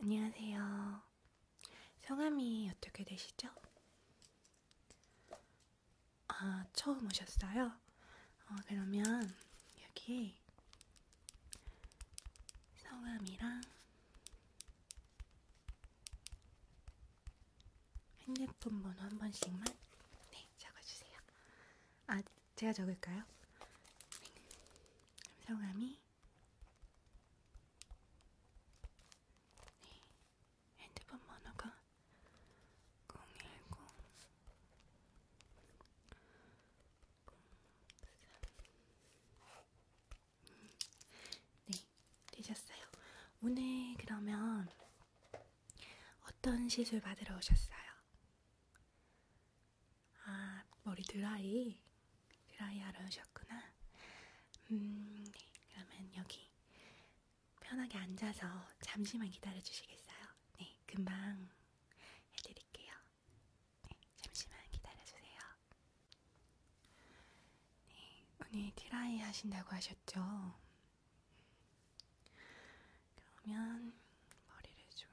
안녕하세요. 성함이 어떻게 되시죠? 아, 처음 오셨어요? 어, 그러면 여기에 성함이랑 핸드폰 번호 한 번씩만 네, 적어주세요. 아, 제가 적을까요? 성함이 네, 핸드폰 번호가 010 음, 네, 되셨어요. 오늘 그러면 어떤 시술 받으러 오셨어요? 아, 머리 드라이? 드라이 하러 오셨구나. 음, 그러면 여기 편하게 앉아서 잠시만 기다려 주시겠어요? 네, 금방 해드릴게요. 네, 잠시만 기다려 주세요. 네, 오늘 드라이 하신다고 하셨죠? 그러면 머리를 좀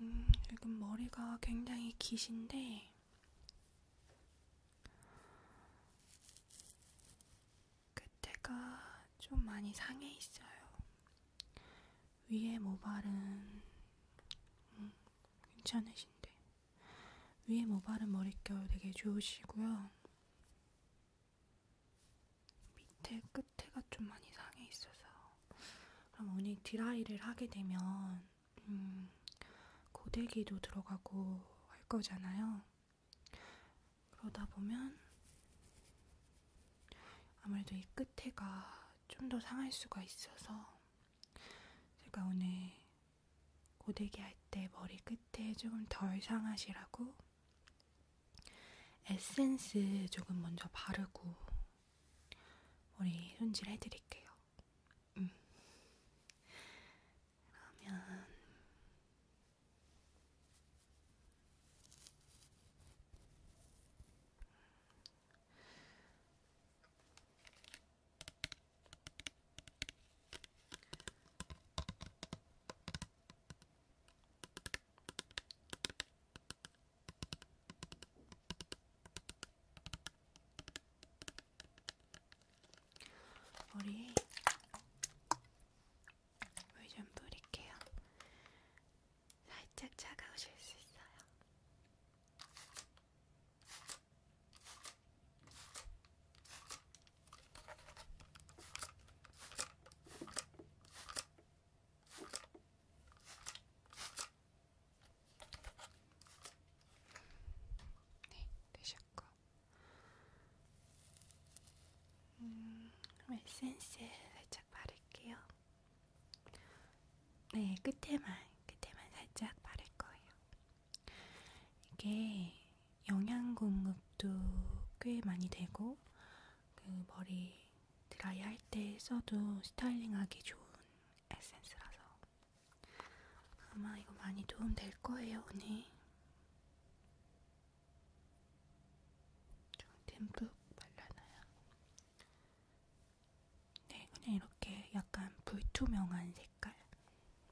음, 지금 머리가 굉장히 기신데, 그때가 좀 많이 상해 있어요. 위에 모발은 음, 괜찮으신데. 위에 모발은 머릿결 되게 좋으시고요. 밑에 끝에가 좀 많이 상해 있어서 그럼 오늘 드라이를 하게 되면 음, 고데기도 들어가고 할 거잖아요. 그러다 보면 아무래도 이 끝에가 좀 더 상할 수가 있어서 제가 오늘 고데기 할 때 머리 끝에 조금 덜 상하시라고 에센스 조금 먼저 바르고 머리 손질 해드릴게요. 음. 그러면 머리에 물좀 뿌릴게요. 살짝 차가우실 수 있어요. 네, 되셨고 음, 에센스 살짝 바를게요. 네, 끝에만, 끝에만 살짝 바를 거예요. 이게 영양 공급도 꽤 많이 되고 그 머리 드라이할 때 써도 스타일링하기 좋은 에센스라서 아마 이거 많이 도움 될 거예요 오늘. 좀 듬뿍 발라놔요. 네, 그냥 이렇게 약간 불투명한 색깔.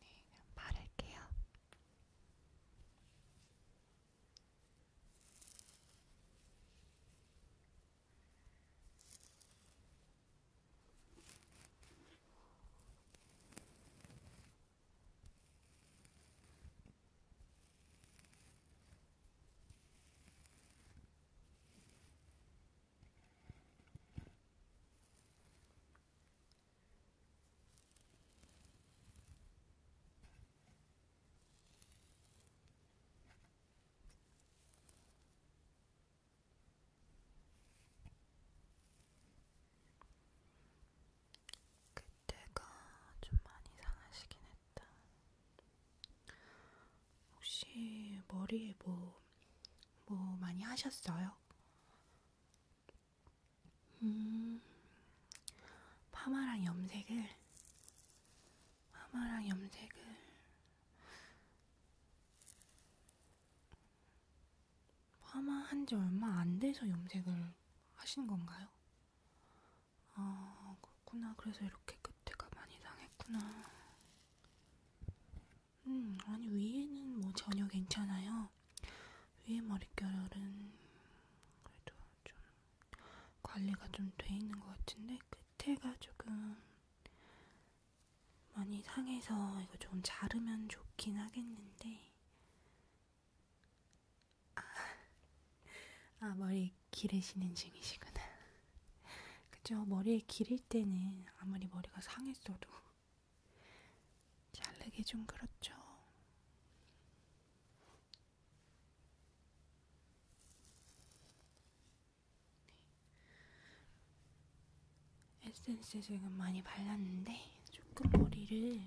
네, 그럼 바를게요. 네, 그때가 좀 많이 상하시긴 했다. 혹시 머리에 뭐, 뭐 많이 하셨어요? 음, 파마랑 염색을, 파마랑 염색을, 파마 한지 얼마 안 돼서 염색을 하신 건가요? 아, 어, 그렇구나. 그래서 이렇게 끝에가 많이 상했구나. 음, 아니, 위에는 뭐 전혀 괜찮아요. 위에 머릿결은 그래도 좀 관리가 좀 돼 있는 것 같은데, 끝에가 조금 많이 상해서 이거 조금 자르면 좋긴 하겠는데. 아, 아 머리 기르시는 중이시구나. 그죠? 머리에 기를 때는 아무리 머리가 상했어도 자르기 좀 그렇죠. 네. 에센스 지금 많이 발랐는데 조금 머리를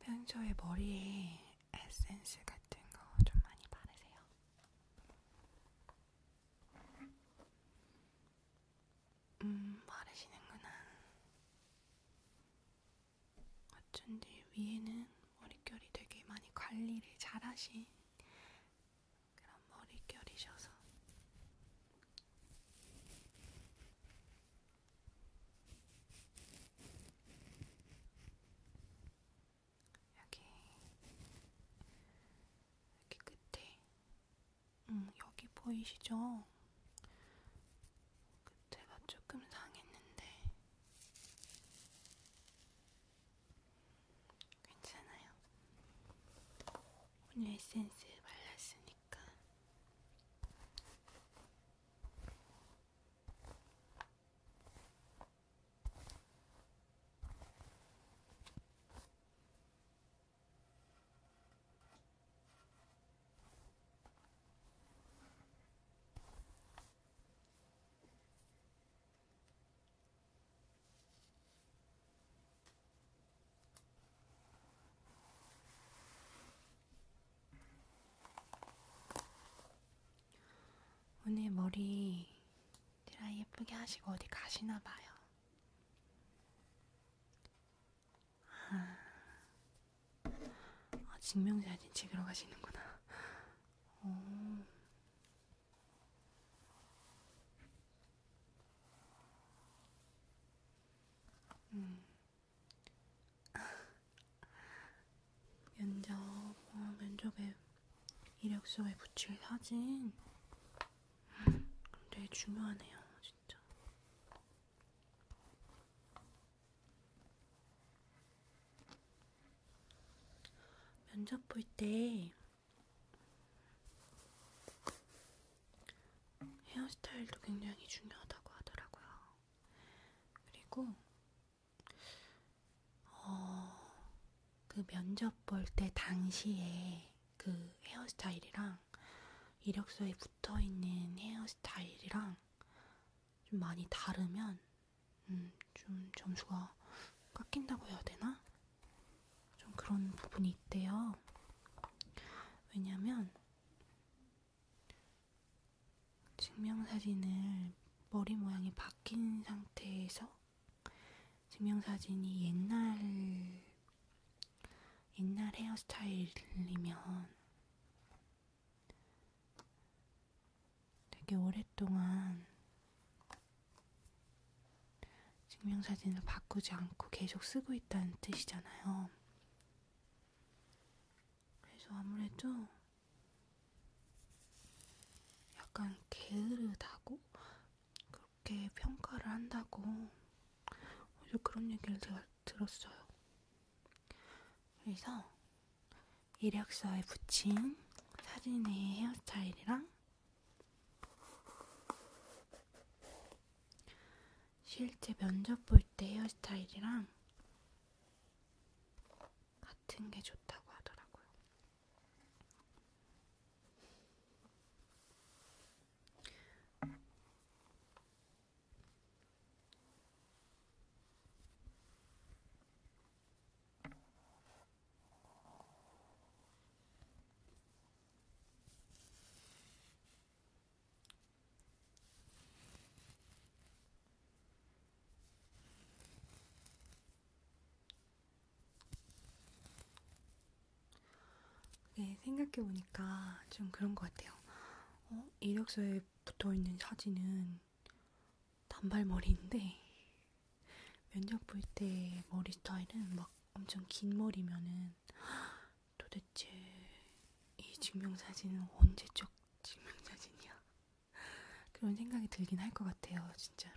평소에 머리에 에센스 같은 거 좀 많이 바르세요. 음, 바르시는구나. 어쩐지 위에는 머릿결이 되게 많이 관리를 잘 하신 그런 머릿결이셔서 여기 여기 끝에 음 여기 보이시죠? 끝에가 조금 상했는데 괜찮아요. 오늘 에센스 발랐으니까. 오늘 머리 드라이 예쁘게 하시고 어디 가시나 봐요. 아, 증명사진 아, 찍으러 가시는구나. 오, 음. 면접, 어, 면접에 이력서에 붙일 사진. 되게 중요하네요, 진짜. 면접 볼때 헤어스타일도 굉장히 중요하다고 하더라고요. 그리고 어, 그 면접 볼 때 당시에 그 헤어스타일이랑 이력서에 붙어 있는 헤어스타일이랑 좀 많이 다르면 음, 좀 점수가 깎인다고 해야 되나? 좀 그런 부분이 있대요. 왜냐면 증명사진을 머리 모양이 바뀐 상태에서 증명사진이 옛날 옛날 헤어스타일이면 되게 오랫동안 증명사진을 바꾸지 않고 계속 쓰고 있다는 뜻이잖아요. 그래서 아무래도 약간 게으르다고 그렇게 평가를 한다고 어제 그런 얘기를 제가 들었어요. 그래서 이력서에 붙인 사진의 헤어스타일이랑 실제 면접 볼 때 헤어스타일이랑 같은 게 좋다고 하더라고요. 네, 생각해보니까 좀 그런 것 같아요. 어, 이력서에 붙어 있는 사진은 단발머리인데, 면접 볼 때 머리 스타일은 막 엄청 긴 머리면은 도대체 이 증명사진은 언제적 증명사진이야? 그런 생각이 들긴 할 것 같아요, 진짜로.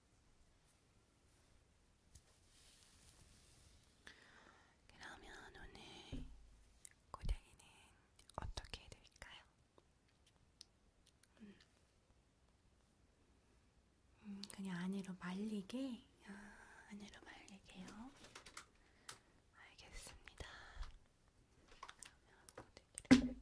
그러면 오늘 고양이는 어떻게 해드릴까요? 음. 음, 그냥 안으로 말리게? 아, 안으로 말리게요. 알겠습니다. 그러면 어떻게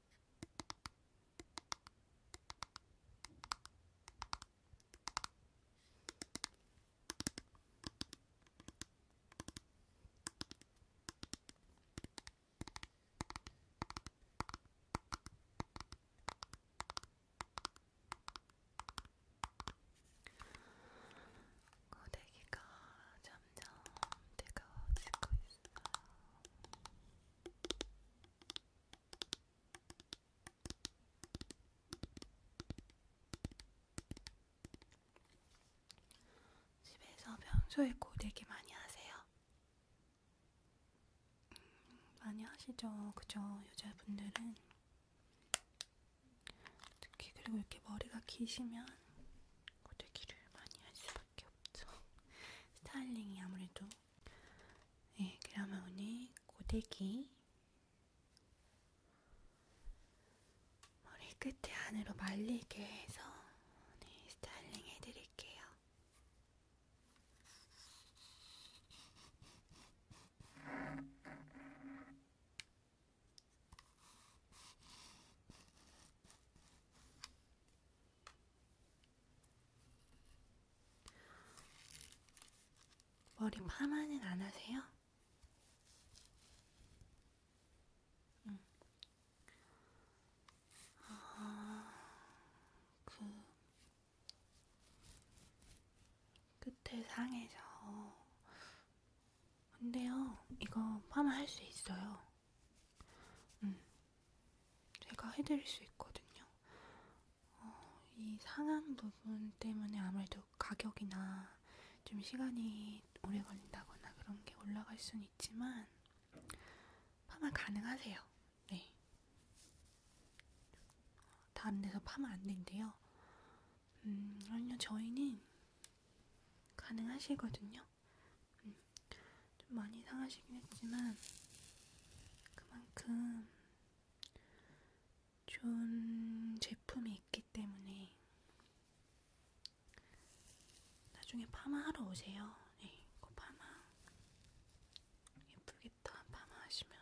고데기가 잘 점점 뜨거워지고 있어요. 집에서 평소에 고데기 많이 하세요? 음, 많이 하시죠, 그죠? 여자분들은 특히 그리고 이렇게 머리가 기시면 고데기를 많이 할 수밖에 수밖에 없죠. 스타일링이 아무래도. 네, 그러면 오늘 고데기 머리 끝에 안으로 말리게 해서 네, 스타일링 해드릴게요. 머리 파마는 안 하세요? 응. 아, 그 끝에 상해서. 근데요, 이거 파마 할 수 있어요. 음, 제가 해드릴 수 있거든요. 어, 이 상한 부분 때문에 아무래도 가격이나 좀 시간이 오래 걸린다거나 그런 게 올라갈 수는 있지만 파마 가능하세요. 네. 다른 데서 파면 안 된대요. 음, 아니요, 저희는 가능하시거든요. 음, 좀 많이 상하시긴 했지만 그만큼 좋은 제품이 있기 때문에 나중에 파마하러 오세요. 네, 이거 파마 예쁘겠다. 파마하시면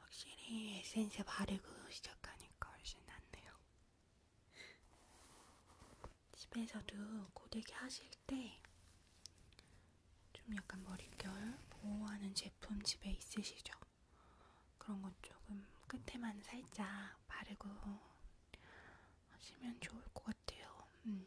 확실히 에센스 바르고 시작하니까 훨씬 낫네요. 집에서도 고데기 하실 때 좀 약간 머릿결 보호하는 제품 집에 있으시죠? 그런 것 조금 끝에만 살짝 바르고 하시면 좋을 것 같아요. 음.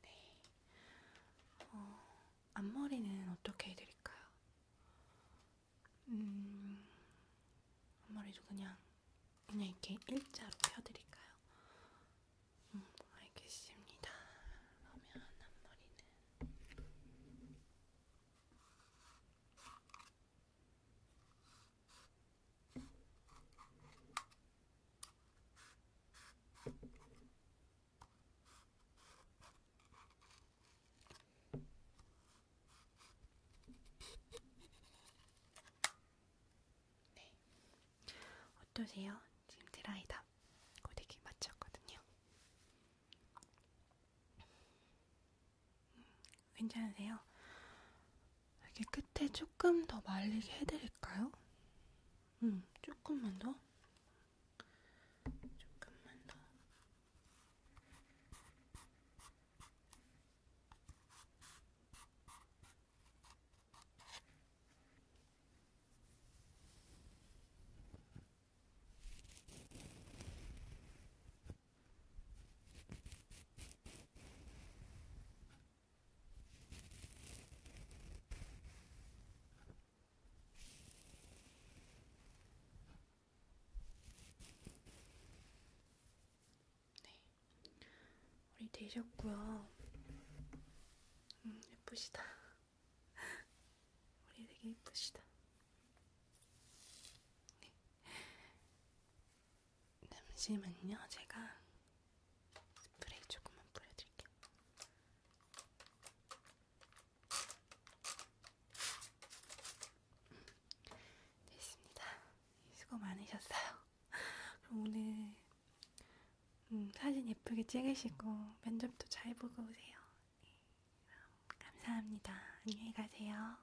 네. 어, 앞머리는 어떻게 해드릴까요? 음, 앞머리도 그냥, 그냥 이렇게 일자로 펴드릴까요? 음, 알겠습니다. 그러면 앞머리는. 네. 어떠세요? 지금 드라이다. 고데기 맞췄거든요. 음, 괜찮으세요? 여기 끝에 조금 더 말리게 해드릴까요? 음, 조금만 더. 조금만 더. 네, 우리 되셨고요. 음, 예쁘시다. 우리 되게 예쁘시다. 네. 잠시만요. 제가 스프레이 조금만 뿌려드릴게요. 음, 됐습니다. 수고 많으셨어요. 그럼 오늘 음, 사진 예쁘게 찍으시고 면접도 잘 보고 오세요. 네, 감사합니다. 안녕히 가세요.